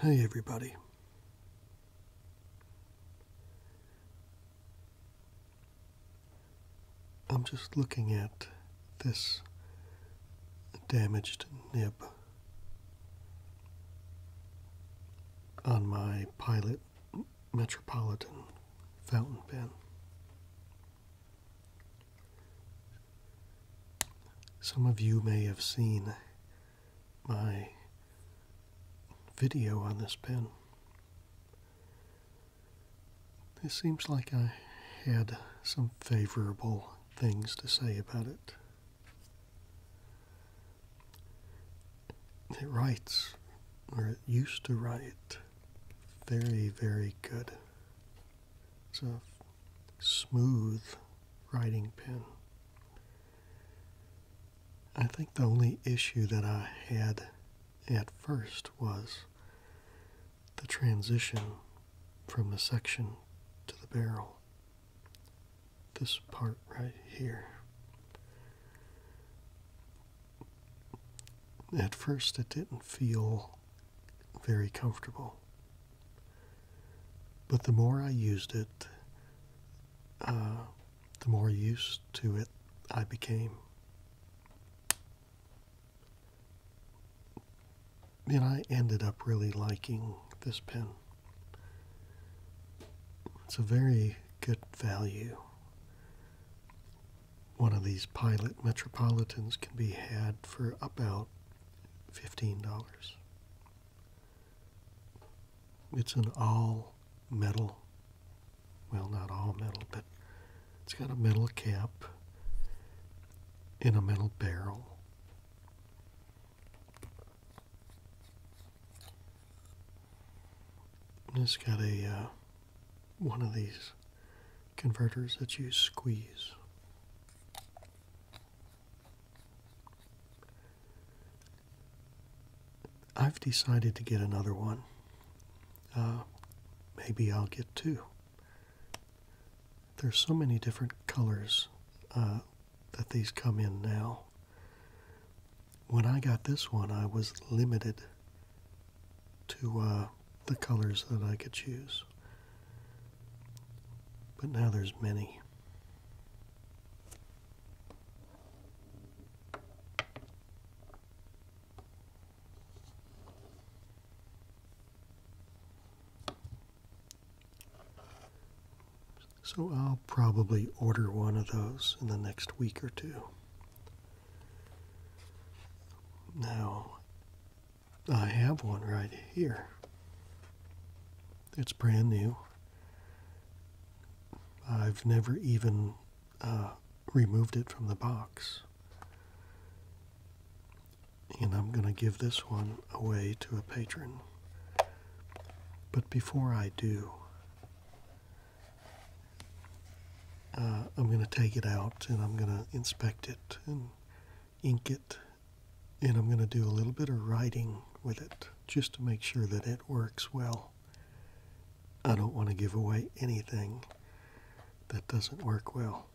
Hey, everybody. I'm just looking at this damaged nib on my Pilot Metropolitan fountain pen. Some of you may have seen my video on this pen. It seems like I had some favorable things to say about it. It writes, or it used to write, very, very good. It's a smooth writing pen. I think the only issue that I had at first was the transition from the section to the barrel. This part right here. At first, it didn't feel very comfortable. But the more I used it, uh, the more used to it I became. And I ended up really liking this pen. It's a very good value one of these pilot metropolitans can be had for about $15. It's an all metal, well, not all metal, but it's got a metal cap and a metal barrel. it's got a uh, one of these converters that you squeeze. I've decided to get another one. Uh, maybe I'll get two. There's so many different colors uh, that these come in now. When I got this one, I was limited to uh, the colors that I could choose. But now there's many. So I'll probably order one of those in the next week or two. Now, I have one right here. It's brand new. I've never even uh, removed it from the box. And I'm going to give this one away to a patron. But before I do, uh, I'm going to take it out and I'm going to inspect it and ink it and I'm going to do a little bit of writing with it just to make sure that it works well. I don't want to give away anything that doesn't work well.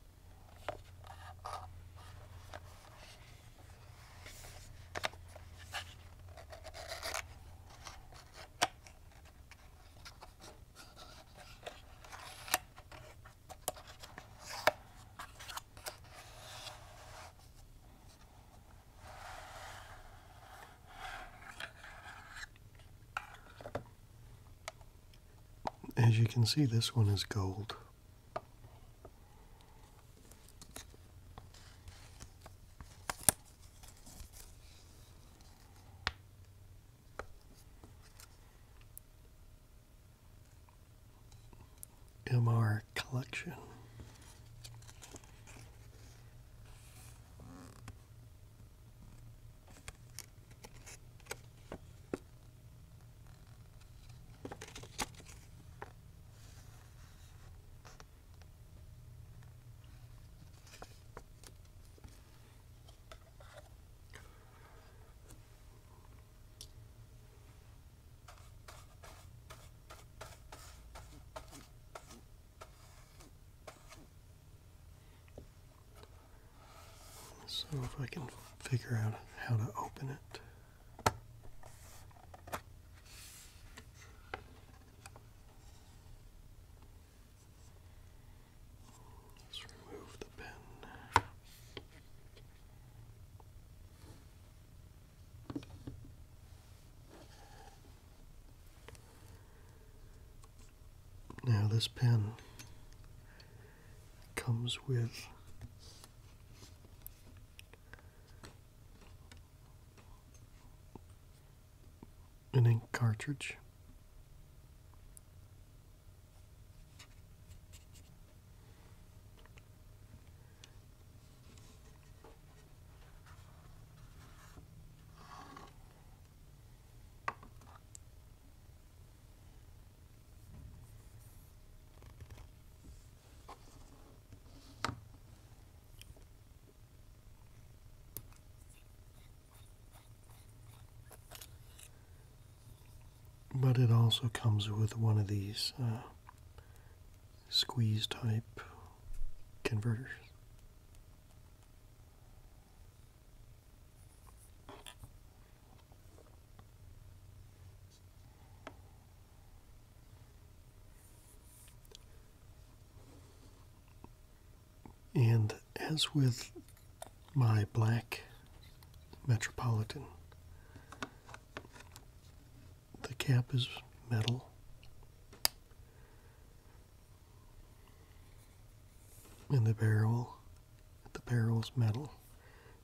As you can see, this one is gold. MR collection. So if I can figure out how to open it. Let's remove the pin. Now, this pen comes with an ink cartridge. But it also comes with one of these uh, squeeze type converters. And as with my black Metropolitan, the cap is metal. And the barrel, the barrel is metal.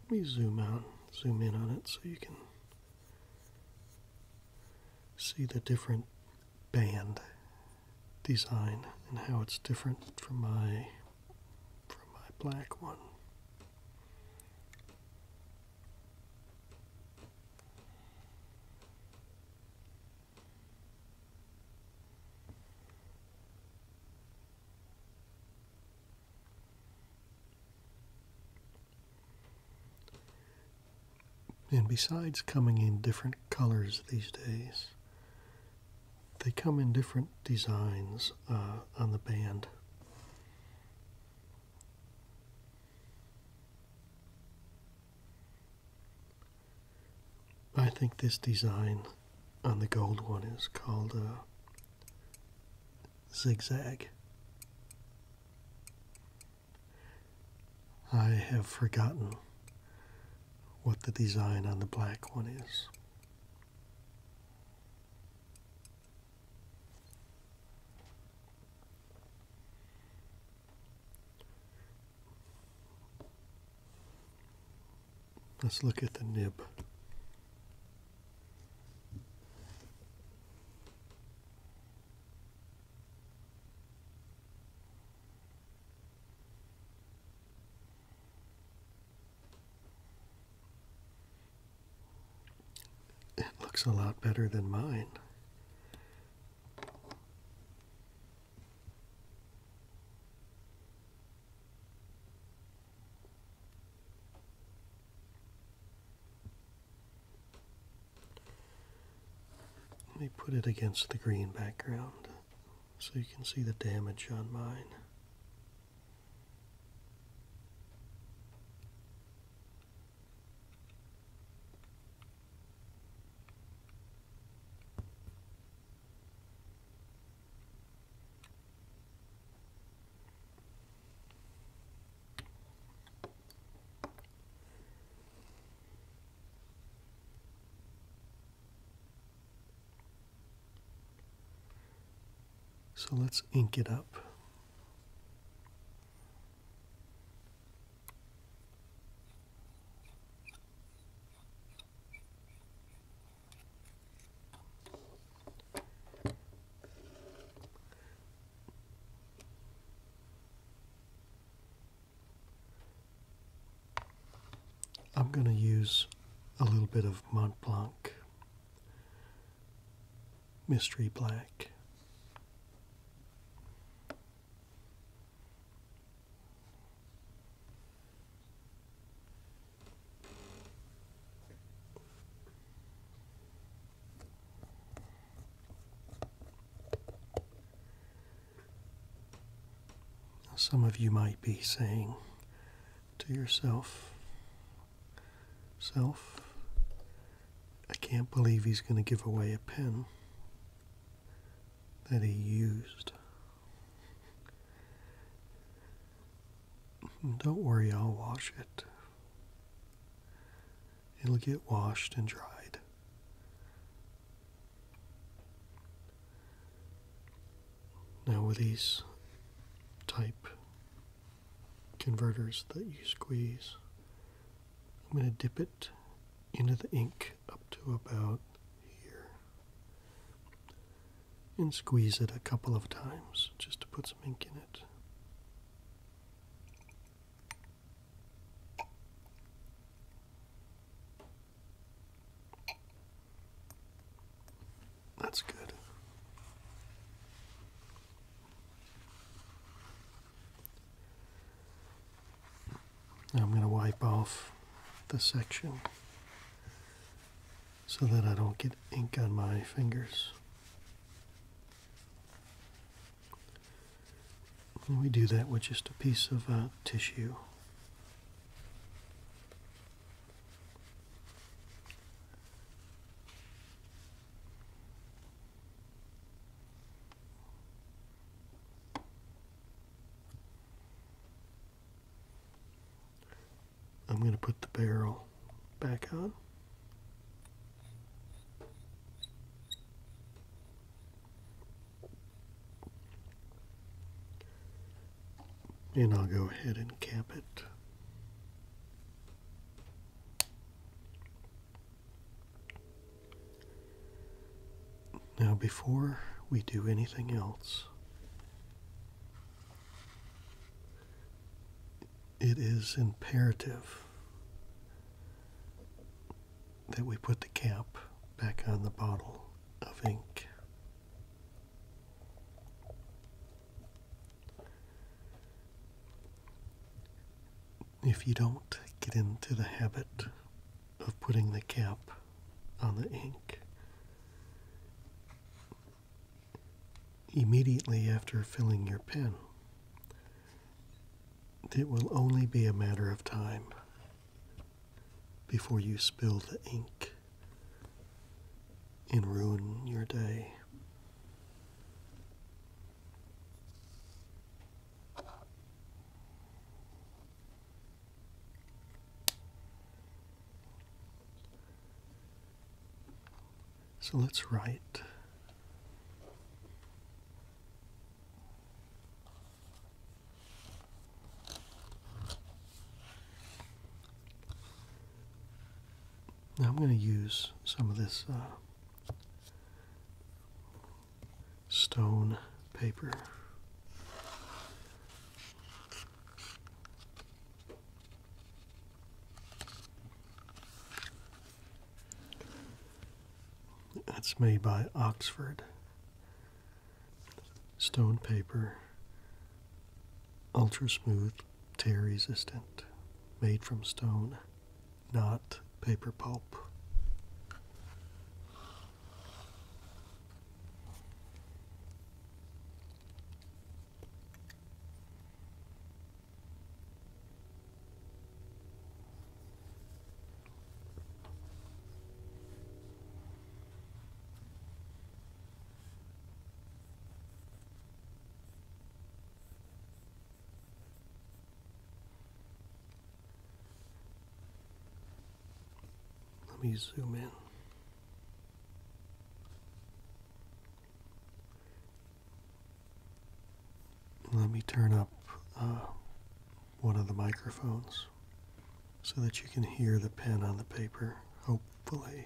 Let me zoom out, zoom in on it so you can see the different band design and how it's different from my from my black one. And besides coming in different colors these days, they come in different designs uh, on the band. I think this design on the gold one is called a uh, zigzag. I have forgotten what the design on the black one is. Let's look at the nib. It looks a lot better than mine. Let me put it against the green background so you can see the damage on mine. So let's ink it up. I'm going to use a little bit of Mont Blanc Mystery Black some of you might be saying to yourself, Self, I can't believe he's going to give away a pen that he used. Don't worry, I'll wash it. It'll get washed and dried now, with these type converters that you squeeze, I'm going to dip it into the ink up to about here and squeeze it a couple of times just to put some ink in it. That's good. I'm going to wipe off the section so that I don't get ink on my fingers. And we do that with just a piece of uh, tissue. I'm going to put the barrel back on. And I'll go ahead and cap it. Now before we do anything else, it is imperative that we put the cap back on the bottle of ink. If you don't get into the habit of putting the cap on the ink, immediately after filling your pen, it will only be a matter of time before you spill the ink and ruin your day. So let's write now I'm going to use some of this uh, stone paper. That's made by Oxford. Stone paper, ultra smooth, tear resistant, made from stone, not paper pulp. Let me zoom in let me turn up uh, one of the microphones so that you can hear the pen on the paper, hopefully.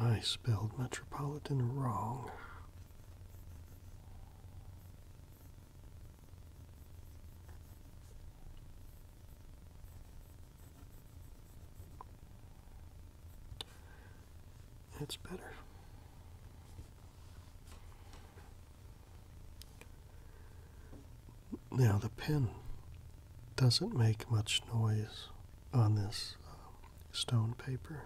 I spelled metropolitan wrong. That's better. Now the pen doesn't make much noise on this uh, stone paper.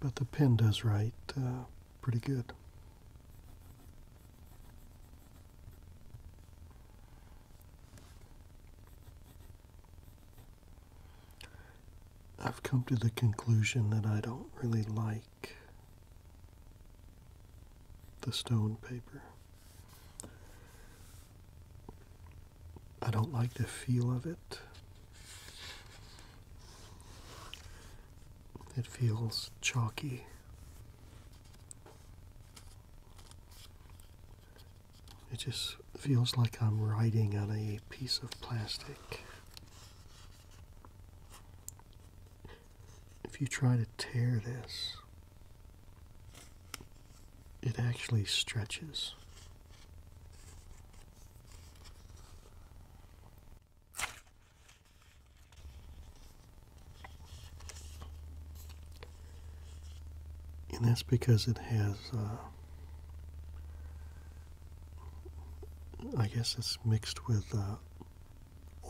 But the pen does write uh, pretty good. I've come to the conclusion that I don't really like the stone paper. I don't like the feel of it. It feels chalky. It just feels like I'm writing on a piece of plastic if you try to tear this, it actually stretches. And that's because it has, uh, I guess it's mixed with uh,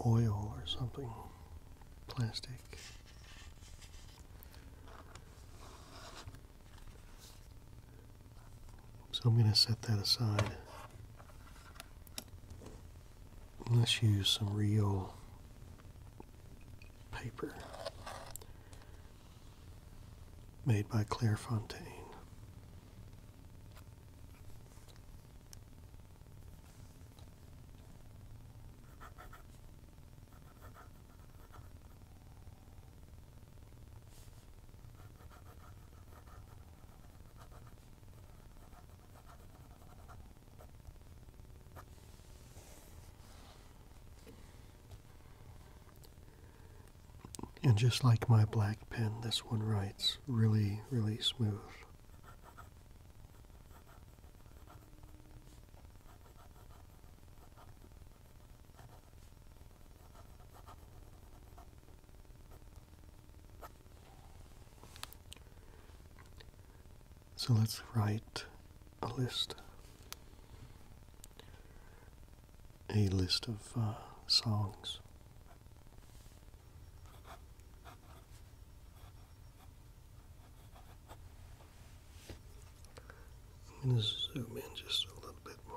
oil or something plastic. So I'm going to set that aside. Let's use some real paper made by Claire Fontaine. And just like my black pen, this one writes really, really smooth. So let's write a list, a list of uh, songs. I'm going to zoom in just a little bit more.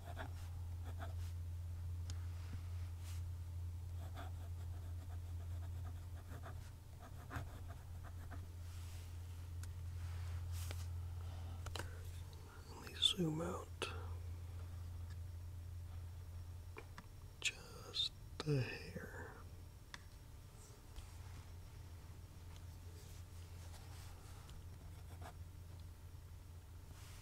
Let me zoom out just the hair.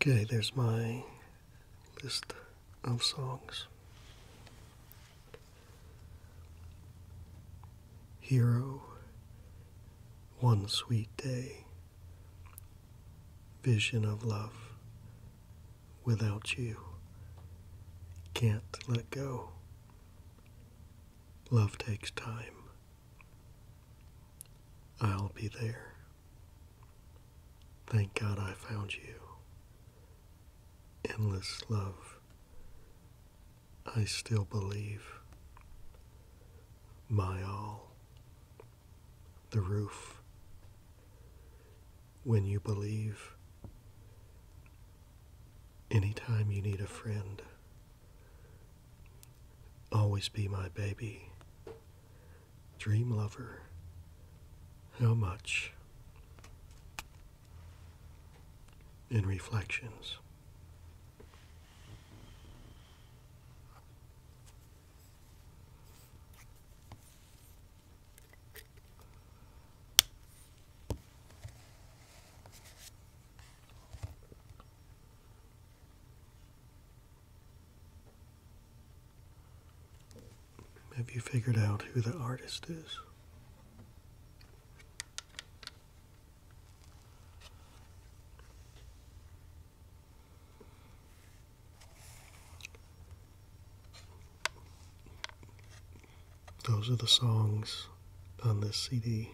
Okay, there's my list of songs hero. One sweet day, vision of love. Without you, can't let go. Love takes time. I'll be there. Thank God I found you. Endless love. I still believe. My all. The roof. When you believe. Anytime you need a friend. Always be my baby. Dream lover. How much? In reflections. Have you figured out who the artist is? Those are the songs on this CD.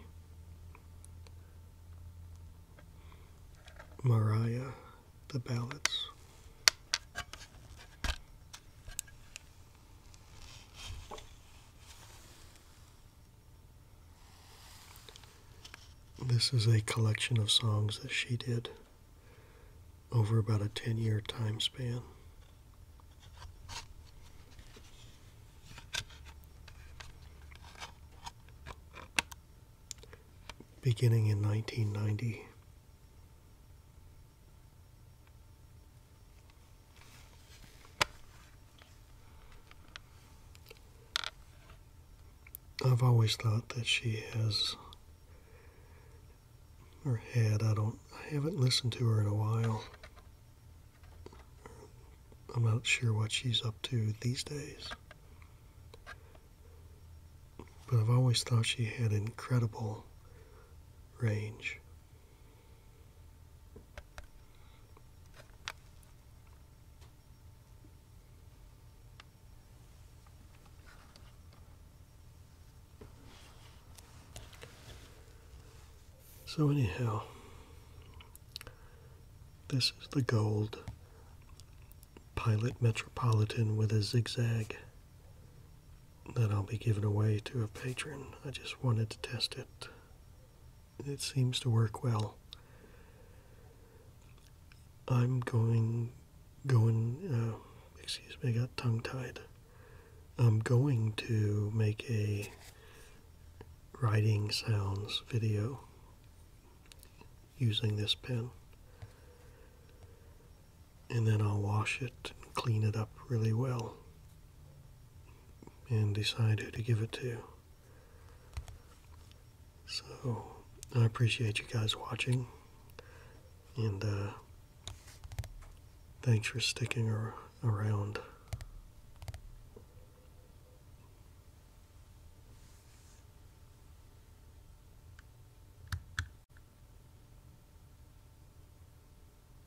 Mariah, the ballads. This is a collection of songs that she did over about a 10 year time span. Beginning in 1990. I've always thought that she has or had, I don't I haven't listened to her in a while. I'm not sure what she's up to these days. But I've always thought she had incredible range. So anyhow, this is the gold Pilot Metropolitan with a zigzag that I'll be giving away to a patron. I just wanted to test it it seems to work well. I'm going, going, uh, excuse me, got tongue tied. I'm going to make a writing sounds video using this pen. And then I'll wash it and clean it up really well and decide who to give it to. So I appreciate you guys watching, and uh, thanks for sticking around.